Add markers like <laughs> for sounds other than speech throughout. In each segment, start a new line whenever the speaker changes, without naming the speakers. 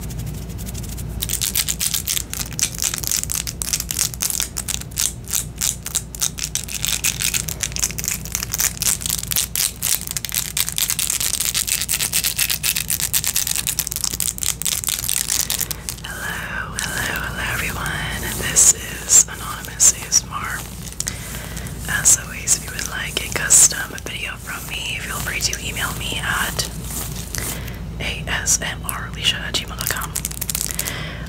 Hello, hello, hello everyone. This is Anonymous ASMR. As if you would like a custom video from me, feel free to email me at asmrleisha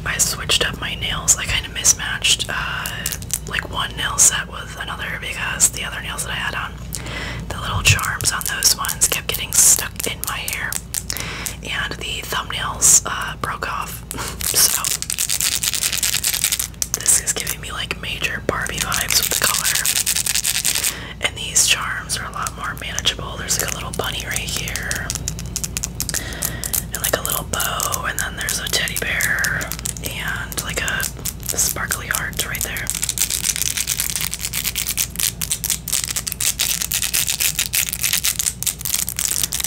I switched up my nails. I kind of mismatched uh, like one nail set with another because the other nails that I had on, the little charms on those ones kept getting stuck in my hair and the thumbnails uh, broke off. <laughs> so this is giving me like major Barbie vibes with the color. And these charms are a lot more manageable. There's like a little bunny right here, and like a little bow, and then there's a teddy bear, and like a sparkly heart right there.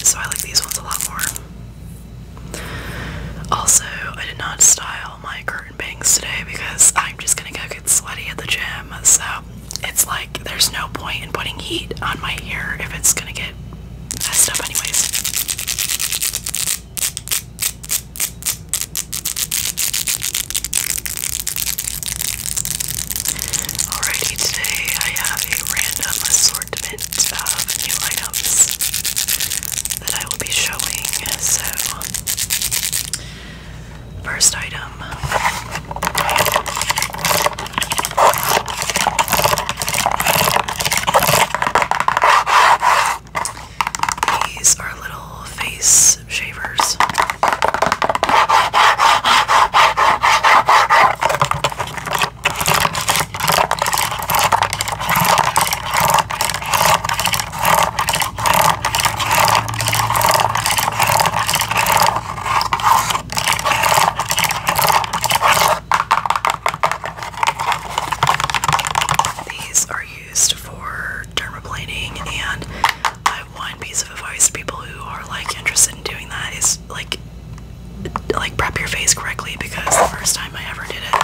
So I like these ones a lot more. Also, I did not style my curtain bangs today because I'm just gonna go get sweaty at the gym. So it's like there's no point in putting heat on my ear if it's gonna get messed up anyways. Alrighty, today I have a random assortment of new items that I will be showing. So First item. These are little face shavers. These are used for dermaplaning, and my one piece of advice to people who are like interested in doing that is like like prep your face correctly because the first time I ever did it,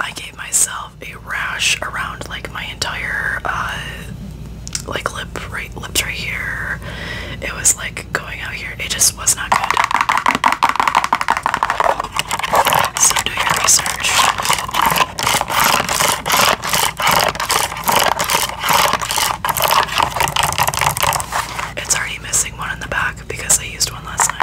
I gave myself a rash around like my entire uh, like lip right lips right here. It was like going out here. It just was not good. So do your research. It's already missing one in the back because I used one last night.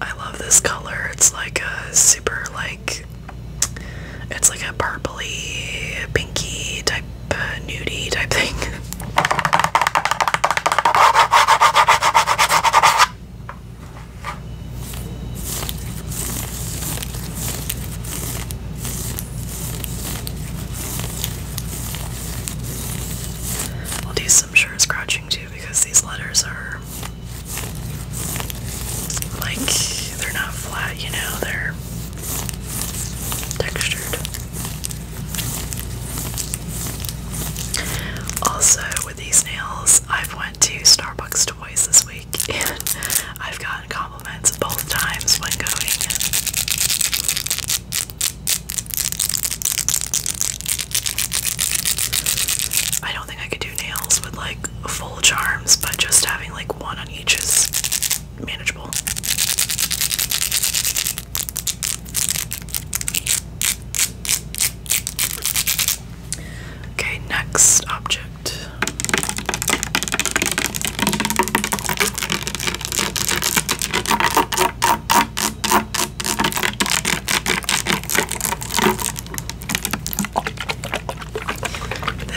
I love this color. It's like a super like it's like a purpley, pinky type, uh, nudie type thing. <laughs> We'll do some sure scratching too because these letters are like they're not flat, you know, they're textured. Also with these nails, I've went to Starbucks twice this week, and I've gotten compliments both times when going. I don't think I could do nails with like full charms, but just having like one on each is manageable. Okay, next object.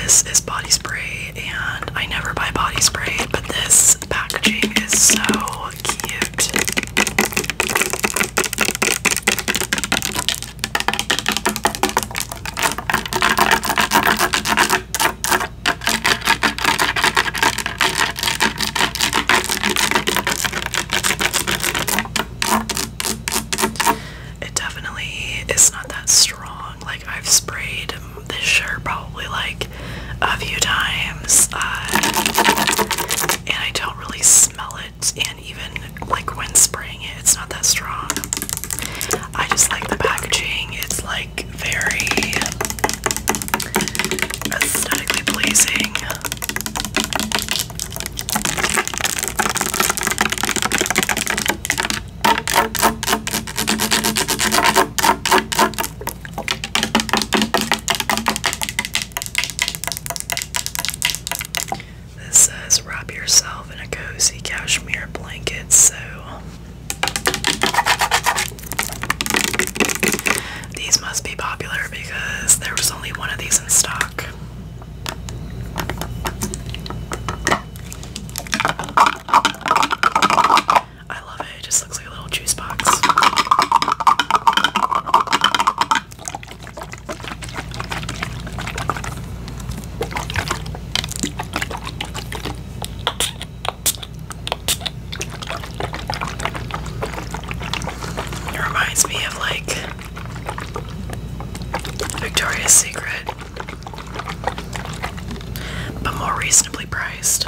This is body spray, and I never buy body spray, but this packaging is so cute. It definitely is not that strong. Like, I've sprayed this shirt probably like a few times, uh, and I don't really smell it even like when spraying it, it's not that strong. I just like the packaging. It's like very aesthetically pleasing. This says wrap yourself in a cozy cashmere blanket. So these must be popular because there was only one of these in stock. I love it. It just looks like a little juice box. It reminds me of like Victoria's Secret, but more reasonably priced.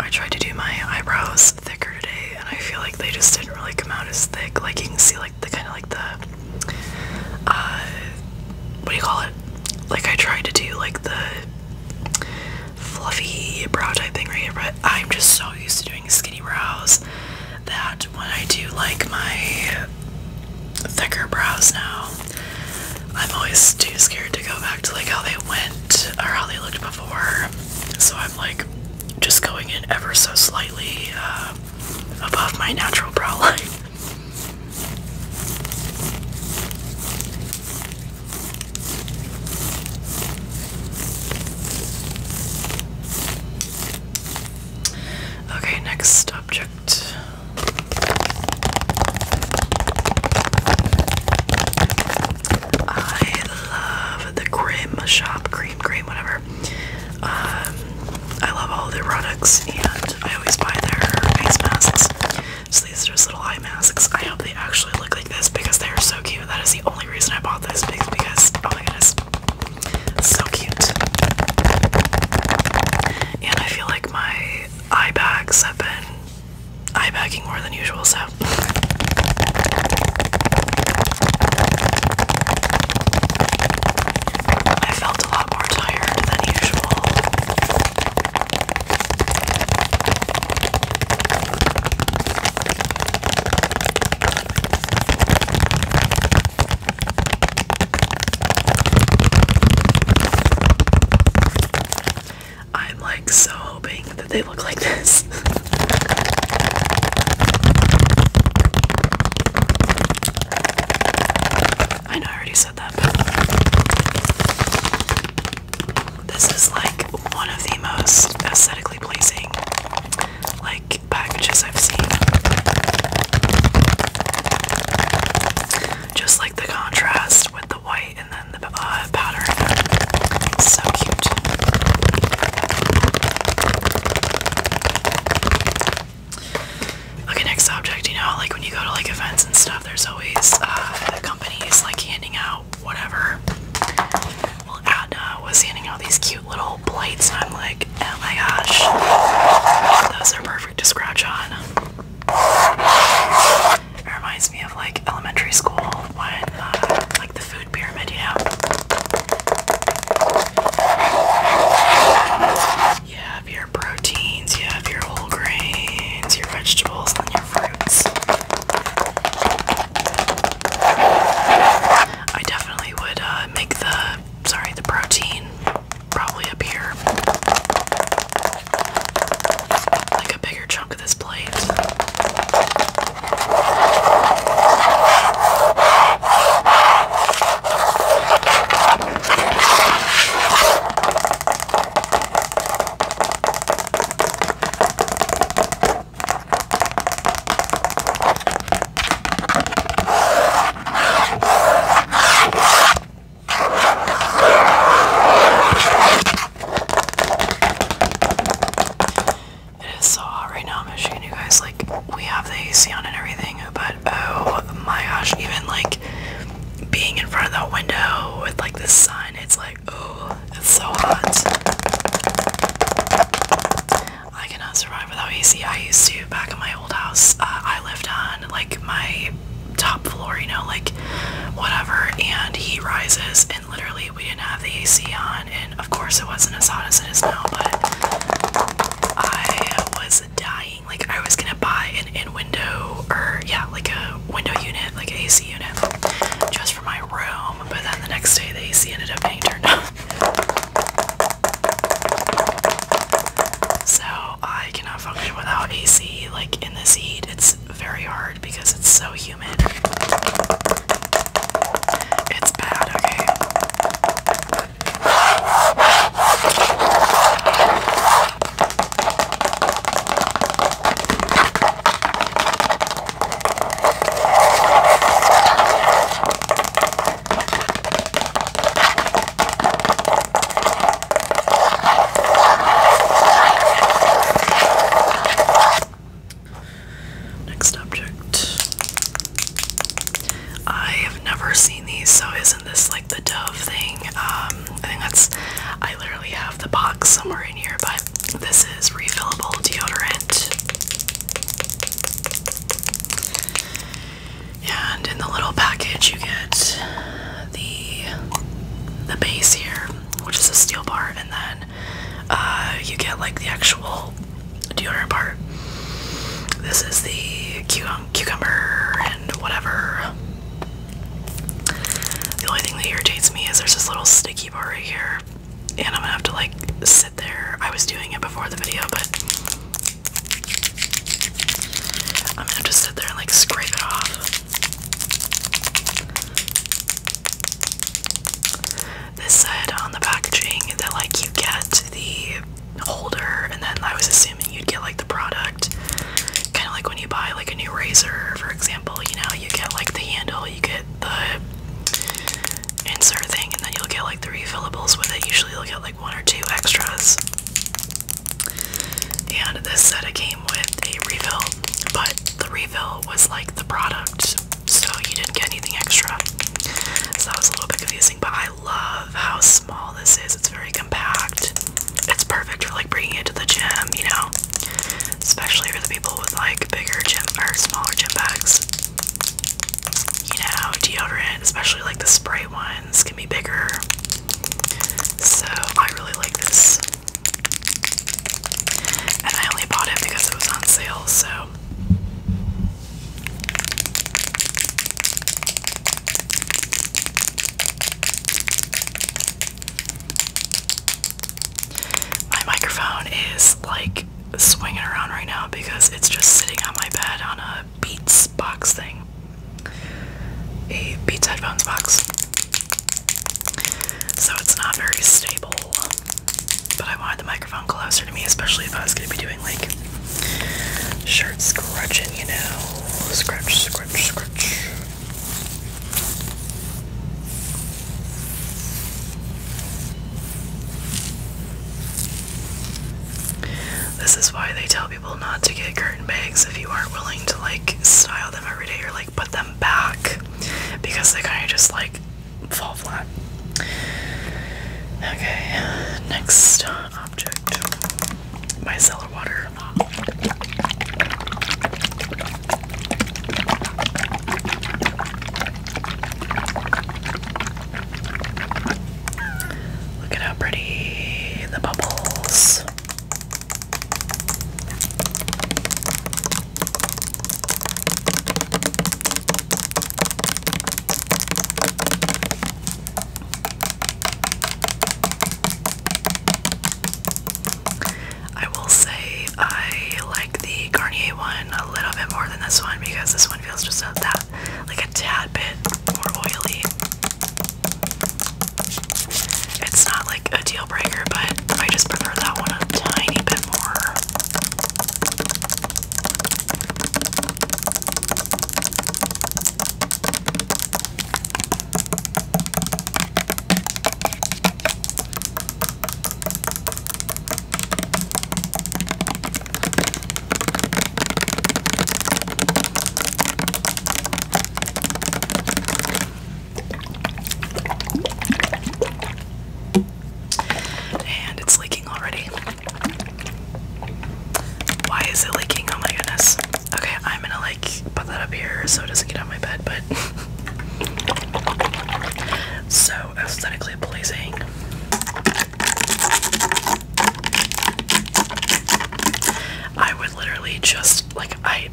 I tried to do my eyebrows thicker today and I feel like they just didn't really come out as thick. Like you can see like the kind of like the uh, what do you call it? Like I tried to do like the fluffy brow type thing right here, but I'm just so used to doing skinny brows that when I do like my thicker brows now, I'm always too scared to go back to like how they went or how they looked before. So I'm like just going in ever so slightly uh, above my natural brow <laughs> line. Okay, next object. I love the Grim Shop Cream Cream, whatever. Um, I love all their products, and I always buy their masks. So these are just little eye masks. I hope they actually look like this because they are so cute. That is the only reason I bought this because oh my goodness, so cute. And I feel like my eye bags have been eye bagging more than usual, so. I felt a lot more tired than usual. I'm like so hoping that they look like this. <laughs> I know I already said that, but this is like one of the most aesthetically pleasing, like packages I've seen. Just like the contrast with the white and then the uh, pattern. so cute. Okay, next object. You know, like when you go to like events and stuff, there's always uh, companies like handing out whatever. Well, Adna was handing out these cute little plates, and I'm like, oh my gosh, those are perfect to scratch on. It reminds me of like elementary school when, uh, like the food pyramid, you know? You have your proteins, you have your whole grains, your vegetables, and your fruits. I definitely would uh, make the sorry the protein probably up here, like a bigger chunk of this plate. It is so hot right now, I'm showing you guys like we have the AC on and everything, but oh my gosh, even like being in front of that window with like the sun, it's like oh it's so hot. I cannot survive without AC. I used to back in my old house. Uh, I lived on like my top floor, you know, like whatever, and heat rises, and literally we didn't have the AC on, and of course it wasn't as hot as it is now, but I was dying. Like I was gonna buy an in-window or yeah, like a window unit, like AC unit, just for my room but then the next day the AC ended up being turned off. So I cannot function without AC. Like in this heat, it's very hard because it's so humid. It's bad, okay? Next object. I have never seen these, so isn't this like the Dove thing? Um, I think that's. I literally have the box somewhere in here, but this is refillable deodorant. And in the little package, you get the the base here, which is a steel bar, and then uh, you get like the actual deodorant part. This is the cucumber and whatever. The only thing that irritates me is there's this little sticky bar right here and I'm gonna have to like sit there. I was doing it before the video, but I'm gonna have to sit there and like scrape it off. This said on the packaging that like you get the holder, and then I was assuming you'd get like the product, kind of like when you buy like a new razor, for example. You know, you get like the handle, you get the insert thing, and then you'll get like three refillables with it. Usually, you'll get like one or two extras. And this set it came with a refill, but the refill was like the product, so you didn't get anything extra. So that was a little bit confusing, but I love how small this is. It's very compact. It's perfect for like bringing it to the gym, you know especially for the people with like bigger gym or smaller gym bags. You know, deodorant, especially like the spray ones, can be bigger. So I really like this. And I only bought it because it was on sale, so. My microphone is like swinging around right now because it's just sitting on my bed on a Beats box thing. A Beats headphones box. So it's not very stable. But I wanted the microphone closer to me, especially if I was going to be doing like shirt scrunching, you know. Scratch, scratch, scratch. This is why they tell people not to get curtain bags if you aren't willing to like style them every day or like put them back because they kind of just like fall flat. Okay, next uh, object micellar water. Look at how pretty the bubbles. I will say I like the Garnier one a little bit more than this one because this one feels just a, that like a tad bit more oily. It's not like a deal breaker, but I just prefer that one a tiny bit more. And it's leaking already. Why is it leaking? Oh my goodness. Okay, I'm gonna like put that up here so it doesn't get on my bed, but so aesthetically pleasing. I would literally just like I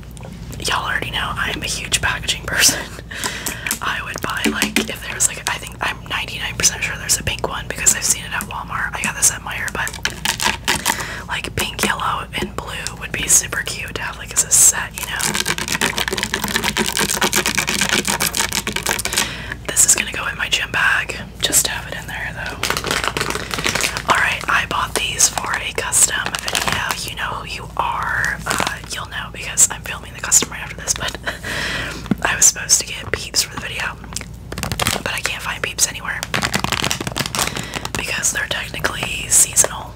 y'all already know I'm a huge packaging person. <laughs> I would buy like if there's like I think I'm 99% sure there's a pink one because I've seen it at Walmart. I got this at Meijer, but like pink, yellow, and blue would be super cute to have like as a set you know. This is gonna go in my gym bag. Just have it in there though. Alright, I bought these for a custom video. You know who you are. Uh, you'll know because I'm filming the custom right after this, but <laughs> I was supposed to get peeps for the video. But I can't find peeps anywhere. Because they're technically seasonal.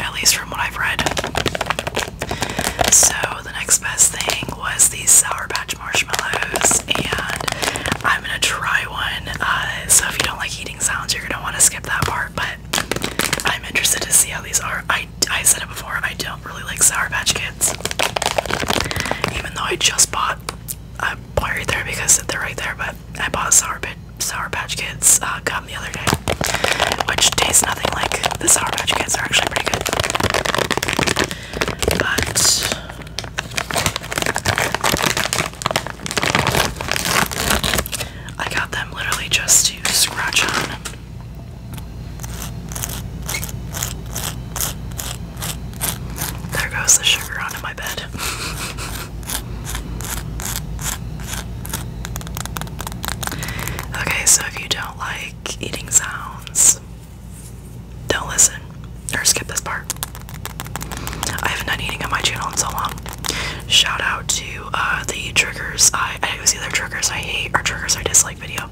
At least from what I've read. So the next best thing was these Sour Patch marshmallows, and I'm gonna try one. Uh, so if you don't like eating sounds, you're gonna want to skip that part. But I'm interested to see how these are. I I said it before. I don't really like Sour Patch Kids, even though I just bought. I bought right there because they're right there, but I bought Sour patch. Sour Patch Kids uh, gum the other day, which tastes nothing like the Sour Patch Kids. are actually pretty good. But I got them literally just to scratch on. There goes the sugar onto my bed. <laughs> Okay, so if you don't like eating sounds, don't listen or skip this part. I haven't done eating on my channel in so long. Shout out to uh, the triggers. I, I either triggers I hate or triggers I dislike video,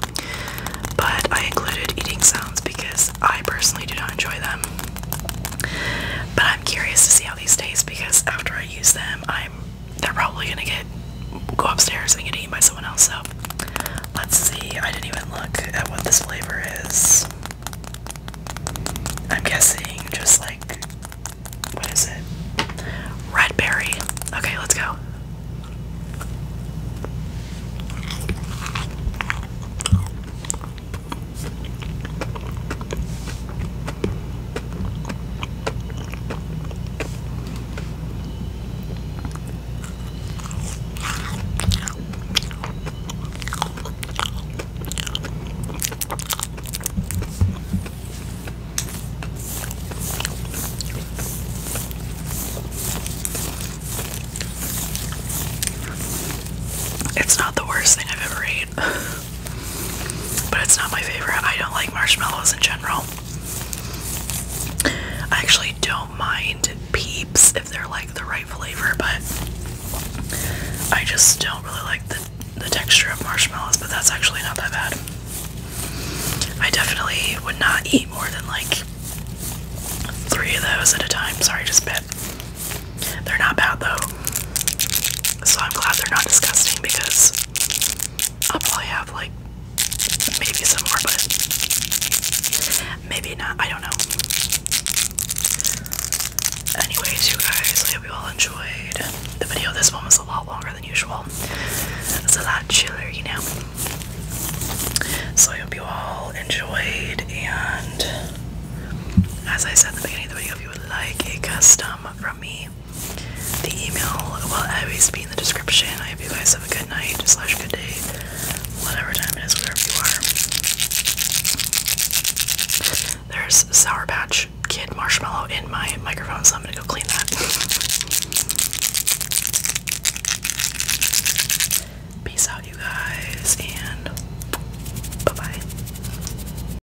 but I included eating sounds because I personally do not enjoy them. But I'm curious to see how these taste because after I use them, I'm they're probably gonna get go upstairs and get eaten by someone else. So let's see. I didn't even look at what this flavor is. I'm guessing just like what is it? Red berry. Okay, let's go. It's not the worst thing I've ever ate. <laughs> But it's not my favorite. I don't like marshmallows in general. I actually don't mind peeps if they're like the right flavor, but I just don't really like the, the texture of marshmallows, but that's actually not that bad. I definitely would not eat more than like three of those at a time. Sorry, just bit. They're not bad though. So I'm glad they're not disgusting because I'll probably have like maybe some more, but maybe not. I don't know. Anyways, you guys, I hope you all enjoyed the video. This one was a lot longer than usual. It's a lot chiller, you know. So I hope you all enjoyed and as I said at the beginning of the video, if you would like a custom from me, the email will always be in the description. I hope you guys have a good night slash good day, whatever time it is, wherever you are. There's Sour Patch Kid Marshmallow in my microphone, so I'm gonna go clean that. Peace out, you guys, and bye bye.